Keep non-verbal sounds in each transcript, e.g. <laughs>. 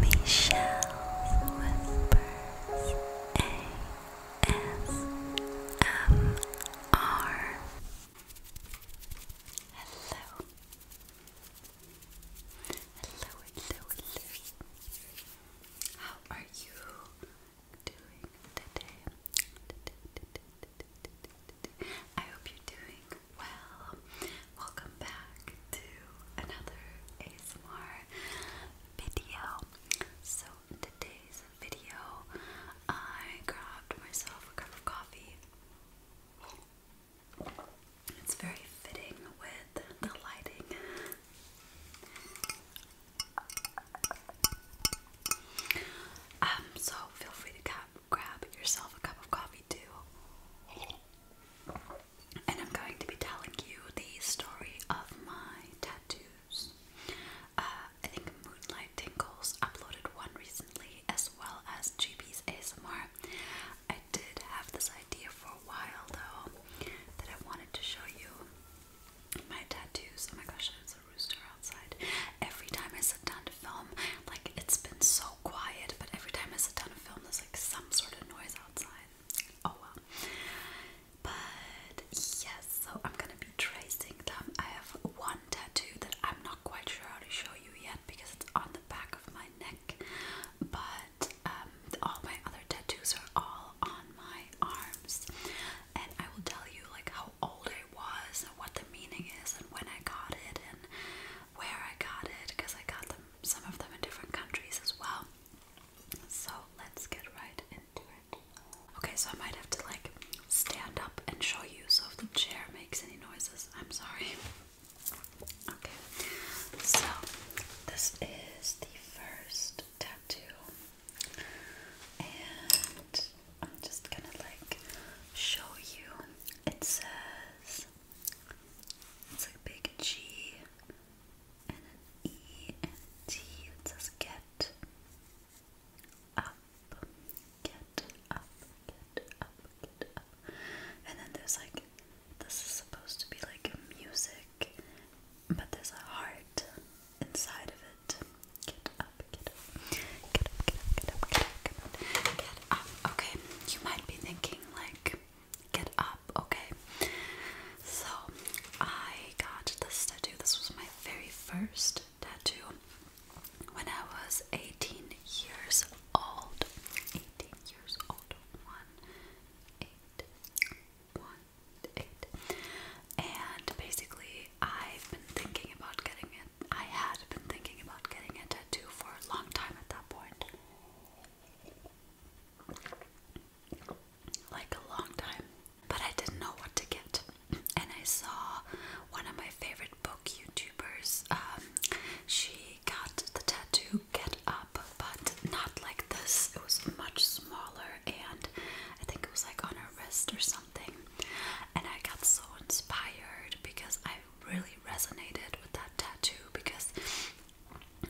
Michelle Whispers ASMR. Hello. Hello, hello, hello. How are you doing today. I hope you're doing well. Welcome back to another ASMR video. So today's video, I grabbed myself a cup of coffee. It's very fitting with the lighting. Um, so feel free to grab yourself a cup of coffee too and I'm going to be telling you the story of my tattoos. Uh, I think Moonlight Tinkles uploaded one recently, as well as GB's ASMR. I did have this idea for a while though that I wanted to show you my tattoos. Oh my gosh, there's a rooster outside. Every time I sit down to film, like it's been so quiet, but every time I sit down to film, there's like some sort of noise outside oh well. But yes, so I'm gonna be tracing them. I have one tattoo that I'm not quite sure how to show you yet because it's on the back of my neck. But um, all my other tattoos are all on my arms, and I will tell you like how old I was and what the meaning is and when I got it and where I got it because I got them some of them in different countries as well. So let's get right into it. Okay, so I might have to like stand up and show you so if the chair makes any noises, I'm sorry. Okay, so this is the first tattoo, and I'm just gonna like show you. It says it's a big G and an E and a T. It says get up, get up, up, get up. And then there's like, this is supposed to be like music, but there's a heart inside of it. get up, get up, get up, get up, get up, get up. Get up. Okay, you might be thinking like get up, okay? So I got this tattoo. This was my very first tattoo when I was 18 years old. 18 years old. One, eight, one, eight. And basically, I've been thinking about getting it. I had been thinking about getting a tattoo for a long time at that point like a long time. But I didn't know what to get. And I saw one of my favorite book YouTubers. Um, she got the tattoo Get Up, but not like this. It was much smaller and I think it was like on her wrist or something. And I got so inspired because I really resonated with that tattoo because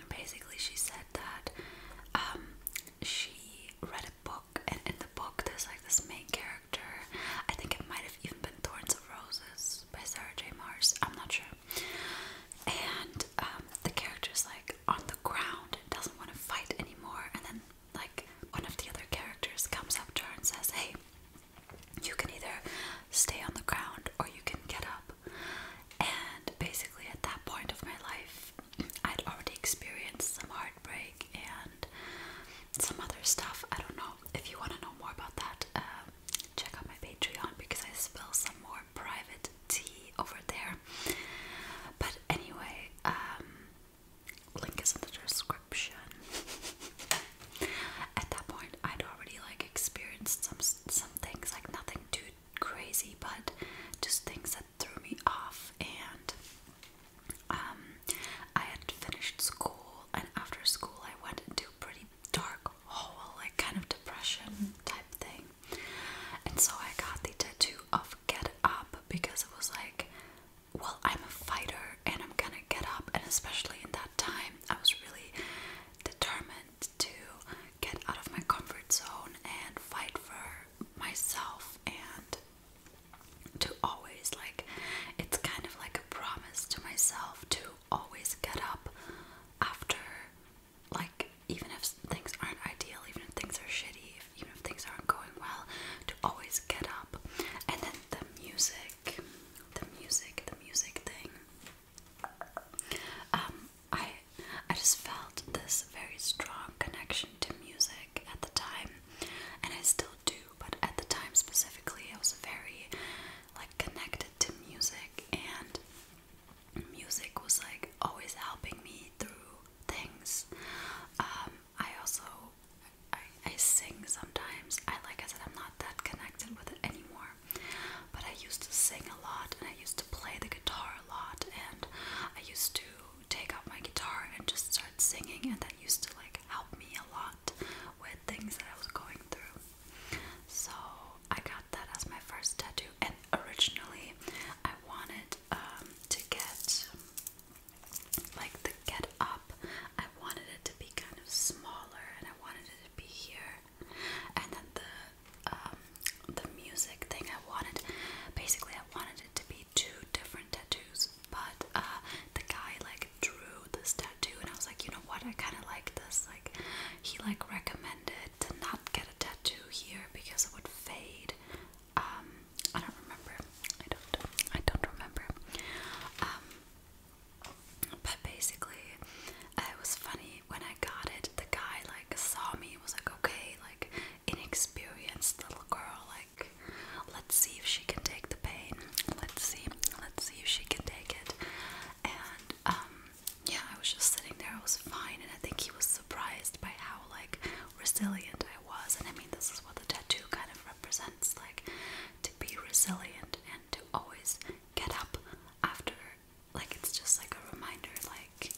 basically she said that um, she read a book and in the book there's like this main character i think it might have even been thorns of roses by sarah j mars i'm not sure and um, the character's like on the ground doesn't want to fight anymore and then like one of the other characters comes up to her and says hey you can either stay on the ground or you can get up and basically, at that point of my life, I'd already experienced some heartbreak and some other stuff. I don't know. If you want to know more about that, um, check out my Patreon because I spill some more private tea over there. But anyway, um, link is in the description. <laughs> At that point, I'd already like experienced some some things like nothing too crazy, but just things that threw me off. And um, I had finished school, and after school, I went into a pretty dark whole like kind of depression type thing. And so I got the tattoo of Get Up because it was like, well, I'm a fighter and I'm gonna get up. And especially in that time, I was really determined to get out of my comfort zone and fight for myself and to always like it's kind of like a promise to myself to always get up after like even if things aren't ideal even if things are shitty even if things aren't going well to always get up and then the music the music the music thing um, I I just felt this very strong connection to music at the time, and I still do. But at the time specifically, I was very like connected to music, and music was like always helping me through things. Um, I also I sing sometimes. I like I said, I'm not that connected with it anymore. But I used to sing a lot and I used to play the guitar a lot and I used to take out my guitar and just start singing and that used to like help me a lot with things that I was going through. So I got that as my first tattoo and originally I wanted um, to get like the get up. I wanted it to be kind of smaller and I wanted it to be here and then the um, the music thing I wanted basically I wanted it to be two different tattoos but uh, the guy like drew this tattoo and I was like you know what I kind of like this like he like recommended to not get a tattoo here because it would fade um, I don't remember I don't I don't remember um, but basically it was funny when I got it. The guy like saw me. Was like, okay, like inexperienced little girl. Like, let's see if she can take the pain. Let's see. Let's see if she can take it. And um, yeah, I was just sitting there. I was fine, and I think he was surprised by how like resilient I was. And I mean, this is what the tattoo kind of represents, like to be resilient and to always get up after like it's just like a reminder like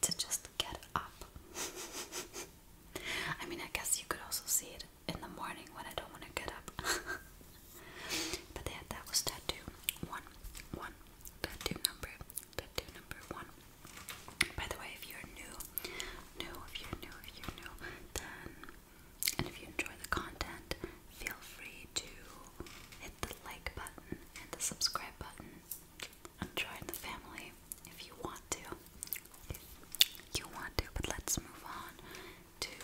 to just get up. <laughs> I mean, I guess you could also see it in the morning when I don't want to get up. <laughs> but yeah, that was tattoo one, one, tattoo number, tattoo number one. By the way, if you're new, new, if you're new, if you're new, then, and if you enjoy the content, feel free to hit the like button and the subscribe button join the family if you want to. If you want to, but let's move on to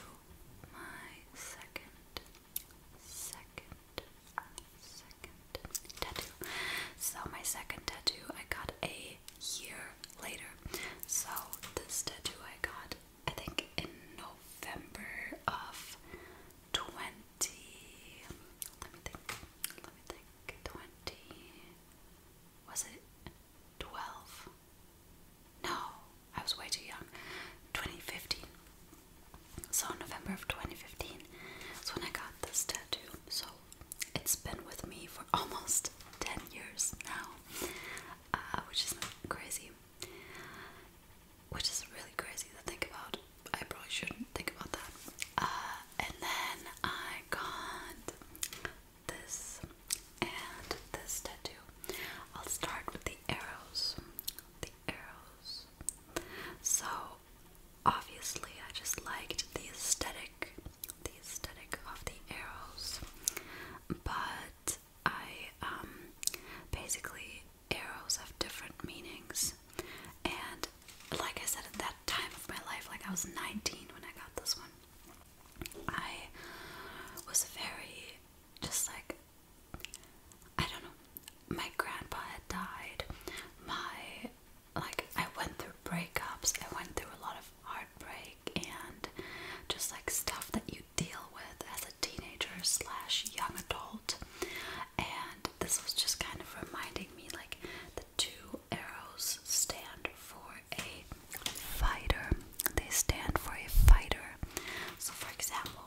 my second, second, second tattoo. So, my second tattoo I got a year later. So, this tattoo I got, I think, in November of 20 let me think, let me think, 20, was it 12? No, I was way too young. 2015. So, November of 2015 is when I got this tattoo. So, it's been with me for <laughs> almost 10 years now, uh, which is crazy which is really crazy to think about. I probably shouldn't think about that. Uh, and then I got this and this tattoo. I'll start with the arrows. The arrows. So obviously, I just liked the aesthetic, the aesthetic of the arrows, but I um, basically arrows have different meanings. And like I said, at that time of my life, like I was 19 when I got this one, I was very just like, I don't know, my grandpa had died. My, like, I went through breakups, I went through a lot of heartbreak and just like stuff that you deal with as a teenager slash young adult, and this was just kind of reminding me like the two arrows stand for a fighter. They stand for a fighter. So, for example,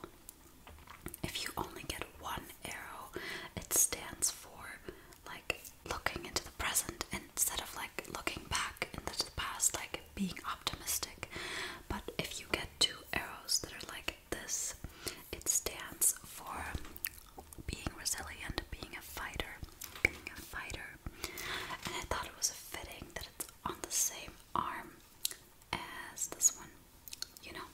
if you only get one arrow, it stands for like looking into the present instead of like looking back into the past, like being optimistic. But if you get two arrows that are like this. It stands for being resilient, being a fighter, being a fighter. And I thought it was fitting that it's on the same arm as this one, you know.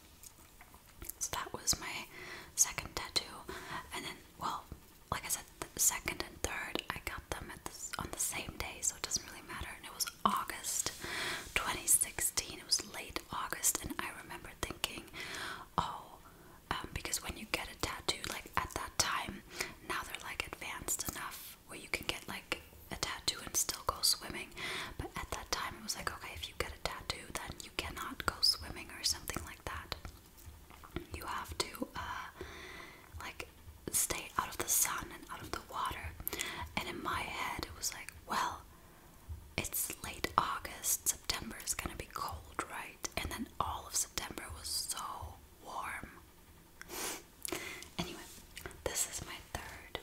So that was my second tattoo, and then well, like I said, the second and third I got them at the, on the same day, so it doesn't really matter. And it was August 2016. It was late August, and I remember thinking, oh, um, because when you get a tattoo, like at that time, now they're like advanced enough where you can get like a tattoo and still go swimming. But at that time, it was like, okay, if you get a tattoo, then you cannot go swimming or something like that. You have to, uh, like, stay out of the sun and out of the water. And in my head, it was like, well, it's late August. September is gonna be cold, right? And then all of September was so warm. <laughs> anyway, this is my third,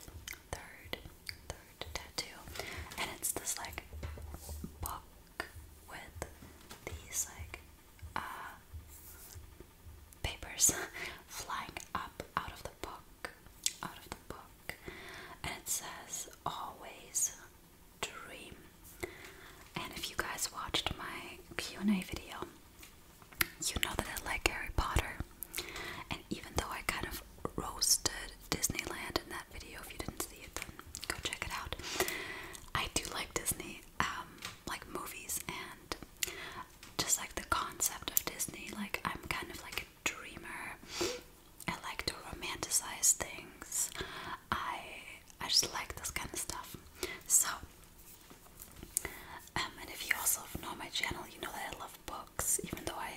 third, third tattoo. And it's this like book with these like uh, papers <laughs> flying up out of the book out of the book, and it says always dream. And if you guys watched my Q&A video, you know that I like Harry Potter. And even though I kind of roasted Disneyland in that video, if you didn't see it, then go check it out. I do like Disney, um, like movies and just like the concept of Disney. Like I'm kind of like dreamer. I like to romanticize things. I I just like this kind of stuff. So, um, and if you also know my channel, you know that I love books, even though I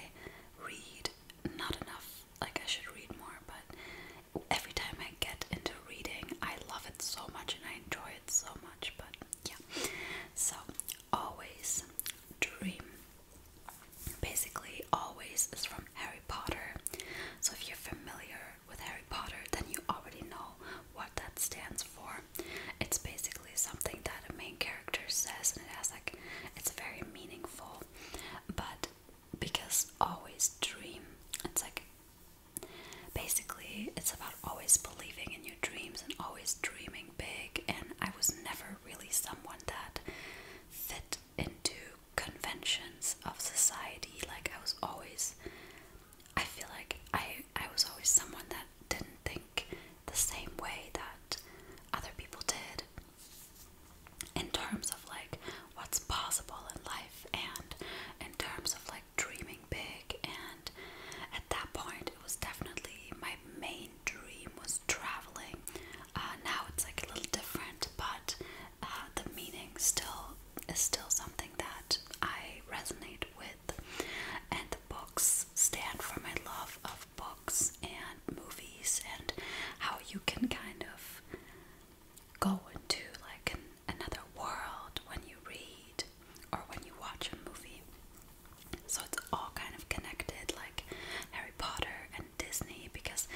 read not enough. Like I should read more, but every time I get into reading, I love it so much and I enjoy it so much. But yeah, so always dream. Basically, always is from Harry Potter. So if you're familiar with Harry Potter, then you already know what that stands for. It's basically something that a main character says, and it has like it's very meaningful. But because always dream, it's like basically it's about always believing in your dreams and always dreaming big. And I was never really someone that fit into conventions of society. Like I was always I feel like I I was always someone that didn't think the same way that other people did in terms of like what's possible in life and in terms of like dreaming big and at that point it was definitely my main dream was traveling uh, now it's like a little different, but uh, the meaning still is still something that I resonate with. And books stand for my love of books and movies and how you can kind of go into like another world when you read or when you watch a movie. So it's all kind of connected, like Harry Potter and Disney, because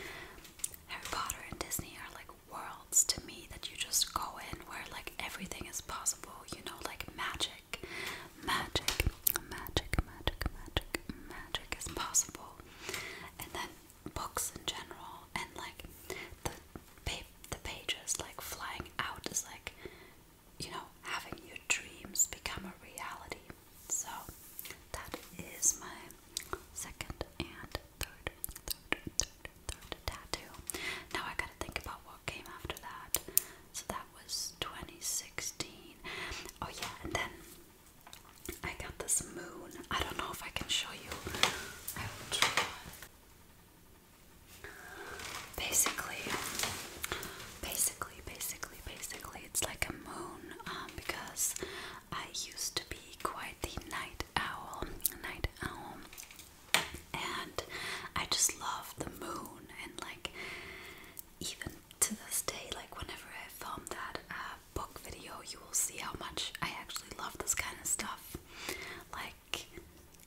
Harry Potter and Disney are like worlds to me that you just go in where like everything is possible, you know, like magic, magic, magic, magic, magic, magic is possible. And then books in general and like the pa the pages like flying out is like you know having your dreams become a reality so that is my second and third, third, third, third tattoo. Now I gotta think about what came after that. So that was 2016. Oh yeah, and then I got this moon. I don't know if I can show you. I will try. Basically, basically basically, basically, basically, it's like a moon um, because I used to be quite the night owl, night owl, and I just love the moon. And like, even to this day, like whenever I film that uh, book video, you will see how much I actually love this kind of stuff. Like,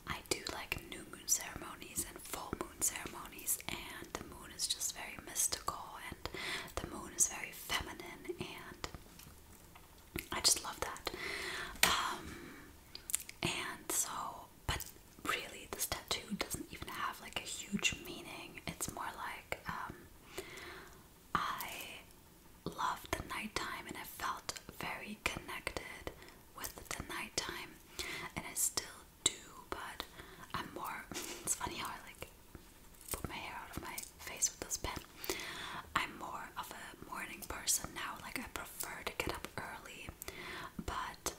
I do like new moon ceremonies and full moon ceremonies, and the moon is just very mysterious and the moon is very feminine, and I just love that. Um, and so, but really, this tattoo doesn't even have like a huge meaning. It's more like um, I loved the nighttime, and I felt very connected with the nighttime, and I still do, but I'm more. <laughs> it's funny how I like put my hair out of my face with this pen. I'm more of a morning person now. Like I prefer to get up early, but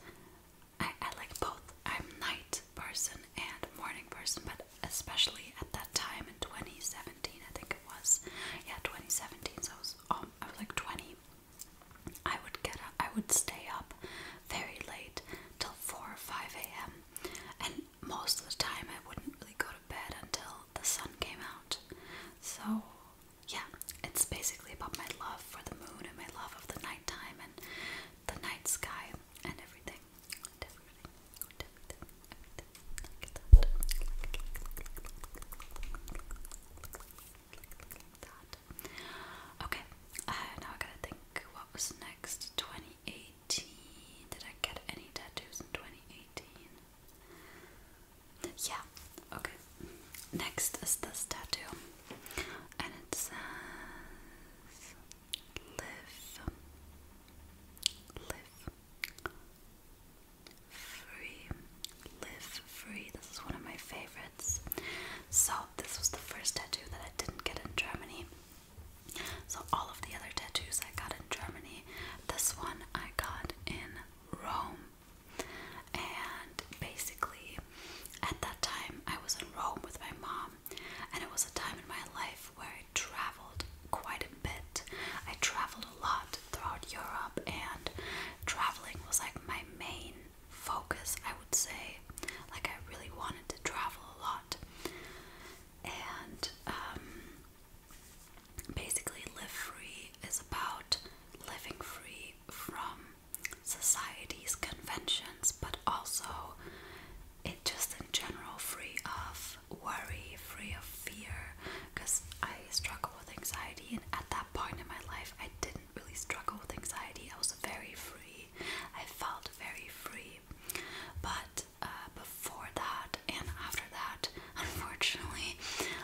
I, I like both. I'm night person and morning person, but especially at that time in 2017, I think it was. Yeah, 2017. So I was, um, I was like 20. I would get up. I would stay up very late till 4 or 5 a.m and most of the time I wouldn't really go to bed until the sun came out. So, yeah, it's basically about my love for the moon and my love of the nighttime and the night sky and everything. Okay, uh, now I gotta think what was next. 20 2018. Did I get any tattoos in 2018? Yeah, okay. Next is this tattoo, and it says live, live free, live free. This is one of my favorites. So, this was the first tattoo that I didn't get in Germany. So all of the other tattoos I got in Germany, this one I got in Rome. And basically, at that time, I was in Rome with my mom, and it was a time in my life where I traveled quite a bit. I traveled a lot throughout Europe, and traveling was like my main focus would say. Like, I really wanted to travel a lot and um, basically, live free is about living free from society's conventions, but also it just in general free of worry, free of fear. Because I struggled with anxiety, and at that point in my life, I didn't really struggle with anxiety. I was very free. I felt very free movie. But uh, before that and after that, unfortunately,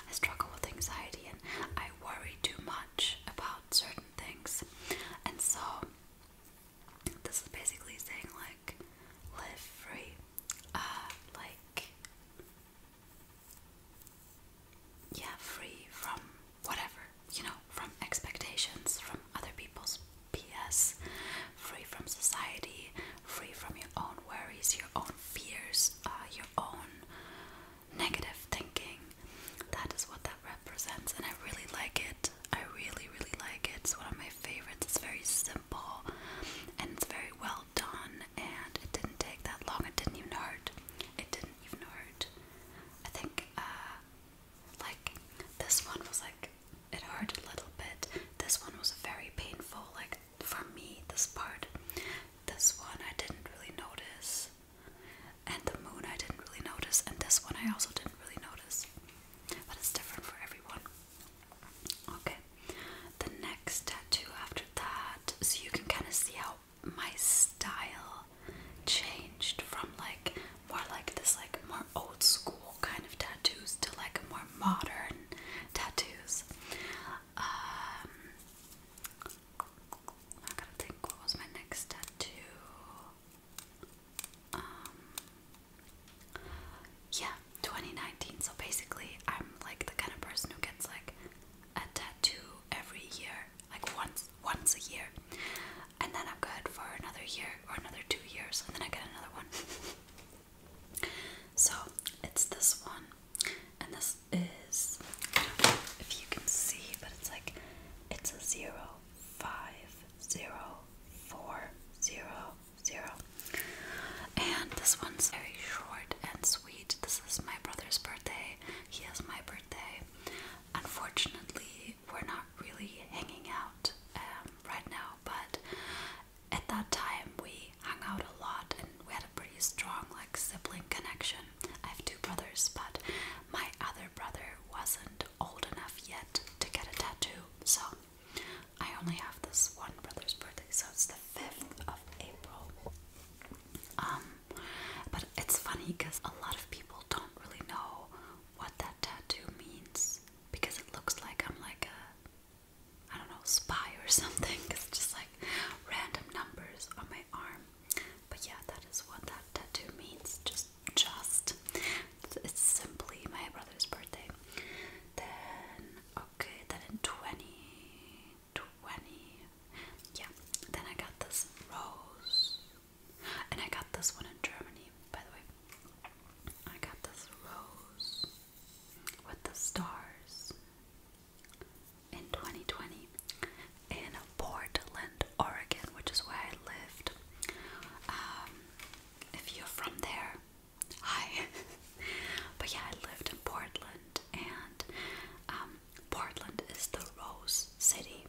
I struggle with anxiety and I worry too much about certain things. And so, this is basically saying, like, live free. Uh, like, yeah, free from whatever you know, from expectations, from other people's BS, free from society, free from your own worries, your own fears, uh, your own negative thinking. That is what that represents, and I really like it. I really, really like it. It's one of my favorites. It's very simple and it's very well done, and it didn't take that long. It didn't even hurt. It didn't even hurt. I think uh, like this one was like it hurt a little bit. This one was very painful, like for me, this part. This one I didn't really notice. And the moon I didn't really notice. And this one I also didn't really notice. But it's different for everyone. Okay. The next tattoo after that, so you can kind of see how my style changed from like more like this like more old school kind of tattoos to like more modern tattoos. Um, I gotta think what was my next tattoo. Um, yeah, 2019. So basically, I'm like the kind of person who gets like a tattoo every year, like once once a year and then I'm good for another year or another two years, and then I get another one. <laughs> so it's this one, and this is if you can see, but it's like it's a zero five zero four zero zero, and this one's very short and sweet. This is my brother's birthday. He has my birthday. Unfortunately, we're not really hanging out um, right now, but at that time we hung out a lot and we had a pretty strong like sibling connection. I have two brothers, but my other brother wasn't old enough yet to get a tattoo, so I only have this one brother's birthday, so it's the 5th of April. Um, but it's funny because a lot of people don't really know what that tattoo means because it looks like I'm like a, I don't know, spy or something. <laughs> It's just like random numbers on my arm. But yeah, that is what that tattoo means. Just, just. It's simply my brother's birthday. Then, okay, then in 2020, yeah, then I got this rose and I got this one in Germany, by the way. I got this rose with the stars in 2020 in Portland, Oregon, which is where I lived. Um, if you're from there, hi. <laughs> but yeah, I lived in Portland, and um, Portland is the Rose City,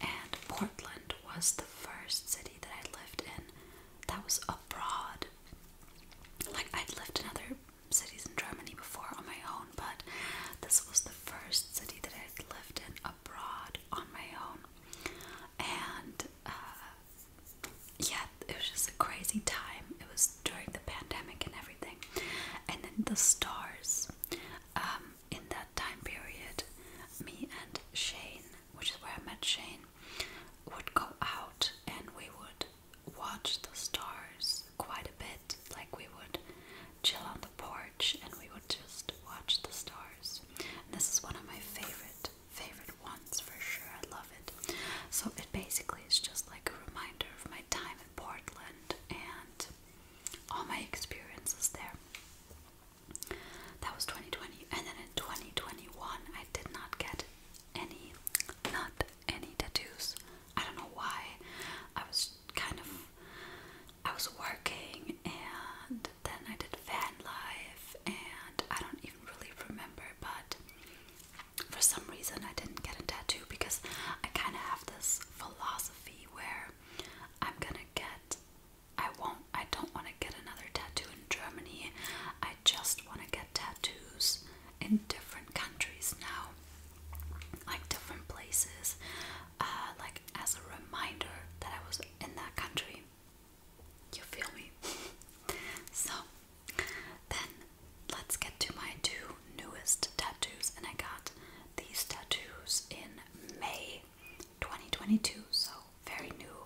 and Portland was the first city that I lived in that was abroad. Like, I'd lived in other cities in Germany before on my own, but this was the first city that I'd lived in abroad on my own. And uh, yeah, it was just a crazy time. It was during the pandemic and everything. And then the stars um, in that time period, me and Shane, which is where I met Shane mine would go out and we would watch the stars quite a bit. Like we would chill on the porch and we would just watch the stars. this is one of my favorite, favorite ones for sure. I love it. So it basically is just like a reminder of my time in Portland and all my experiences there. That was 2020. And then in 2021, I did not get any, not any tattoos. I don't know why. I was kind of, I was working and then I did van life and I don't even really remember, but for some reason I didn't get a tattoo because I kind of have this philosophy where I'm gonna get I won't I don't want to get another tattoo in Germany. I just want to get tattoos in different countries now. Like different places. Uh, like as a reminder that I was in that country. You feel me? <laughs> so then let's get to my two newest tattoos and I got these tattoos in May 2022 so very new,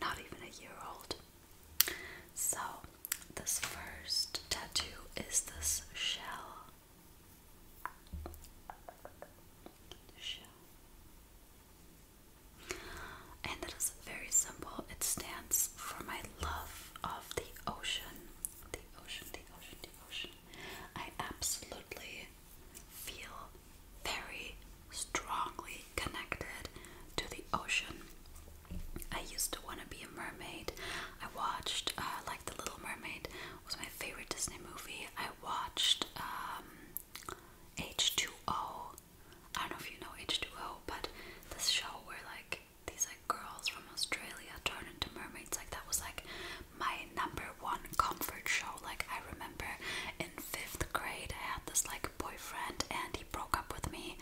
not even a year old. So, this first tattoo is this shell. Shell. And it is very simple. It stands for my love of the ocean. The ocean, the ocean, the ocean. I absolutely feel very strongly connected to the ocean. I used to want to be a mermaid. I watched, uh, like, The Little Mermaid was my favorite Disney movie. I watched um, H2O. I don't know if you know H2O, but this show where, like, these like girls from Australia turn into mermaids. Like that was like my number one comfort show. Like I remember in fifth grade, I had this like boyfriend, and he broke up with me.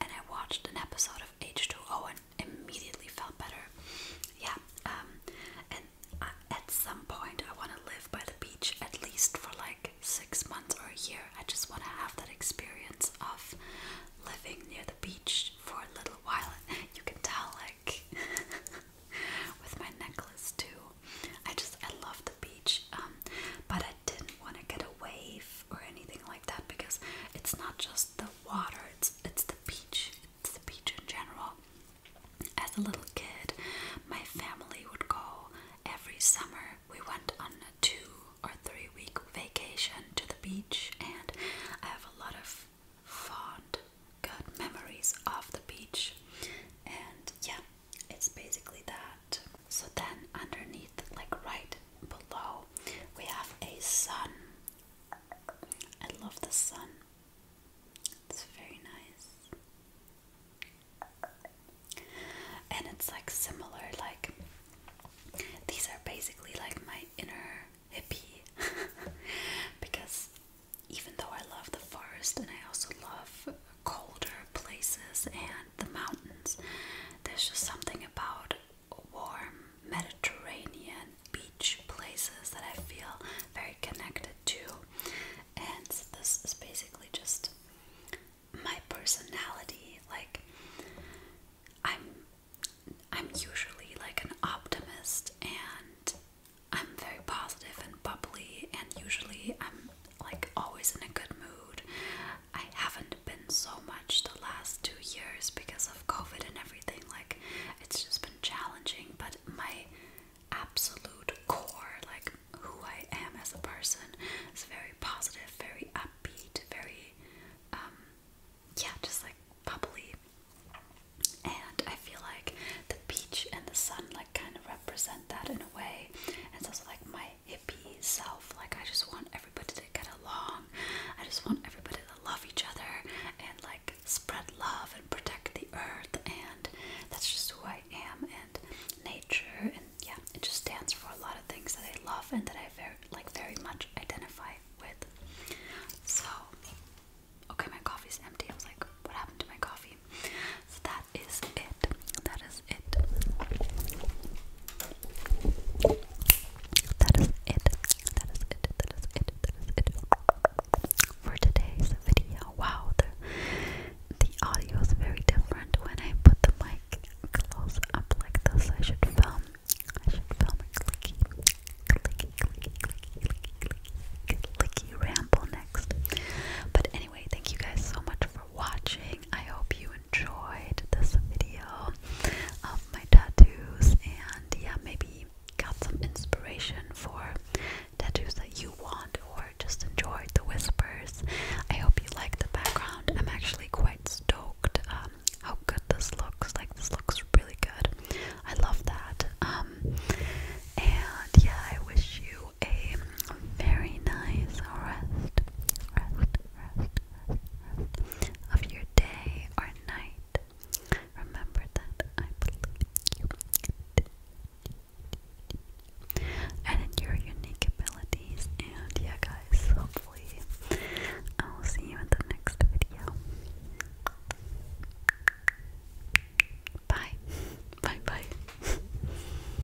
And I watched an episode of H2O and immediately felt better. Yeah, um, and at some point, I want to live by the beach at least for like six months or a year. I just want to have that experience of living near the beach for a little while. You can tell, like, <laughs> with my necklace too, I just I love the beach, um, but I didn't want to get a wave or anything like that because it's not just the water; it's it's the beach. It's the beach in general. As a little kid, my family would go every summer. We went on a two or three week vacation to the beach, and I have a lot of fond, good memories of the beach. And yeah, it's basically that. So then underneath, like right below, we have a sun. I love the sun. It's very nice. And it's like similar, like these are basically like my inner hippie <laughs> because even though I love the forest and I also love colder places and the mountains. There's just something about warm Mediterranean beach places that I feel very connected to. And this is basically just my personality. Like I'm I'm usually like an optimist and I'm very positive and bubbly and usually I'm like always in a good mood. I haven't been so much the last two years because of COVID and everything. Like it's just been challenging, but my absolute core, like who I am as a person, is very positive, very upbeat, very um, yeah, just like bubbly. And I feel like the beach and the sun like kind of represent that in a way. And it's also like my hippie self. Like I just want everybody to get along. I just want everybody to love each other and like spread love and protect the earth and that's just who I am and nature and yeah, it just stands for a lot of things that I love and that I very like very much identify with. So okay my coffee's empty. I was like, what happened to my coffee? So that that is it. That is it. That is it. That is it. That is it. That is it. For today's video. Wow, the the audio is very different when I put the mic close up like this. I should film. I should film a clicky, clicky, clicky, clicky, clicky, clicky ramble next. But anyway, thank you guys so much for watching. I hope you enjoyed this video of my tattoos and yeah, maybe got some inspiration for tattoos that you want or just enjoyed the whispers. I hope you like the background. I'm actually quite stoked um, how good this looks. Like this looks really good. I love that. Um, and yeah, I wish you a very nice rest, rest, rest, rest, of your day or night. Remember that I believe you and in your unique abilities. And yeah, guys, hopefully, I will see you in the next video. Bye. <laughs> Bye bye. <laughs>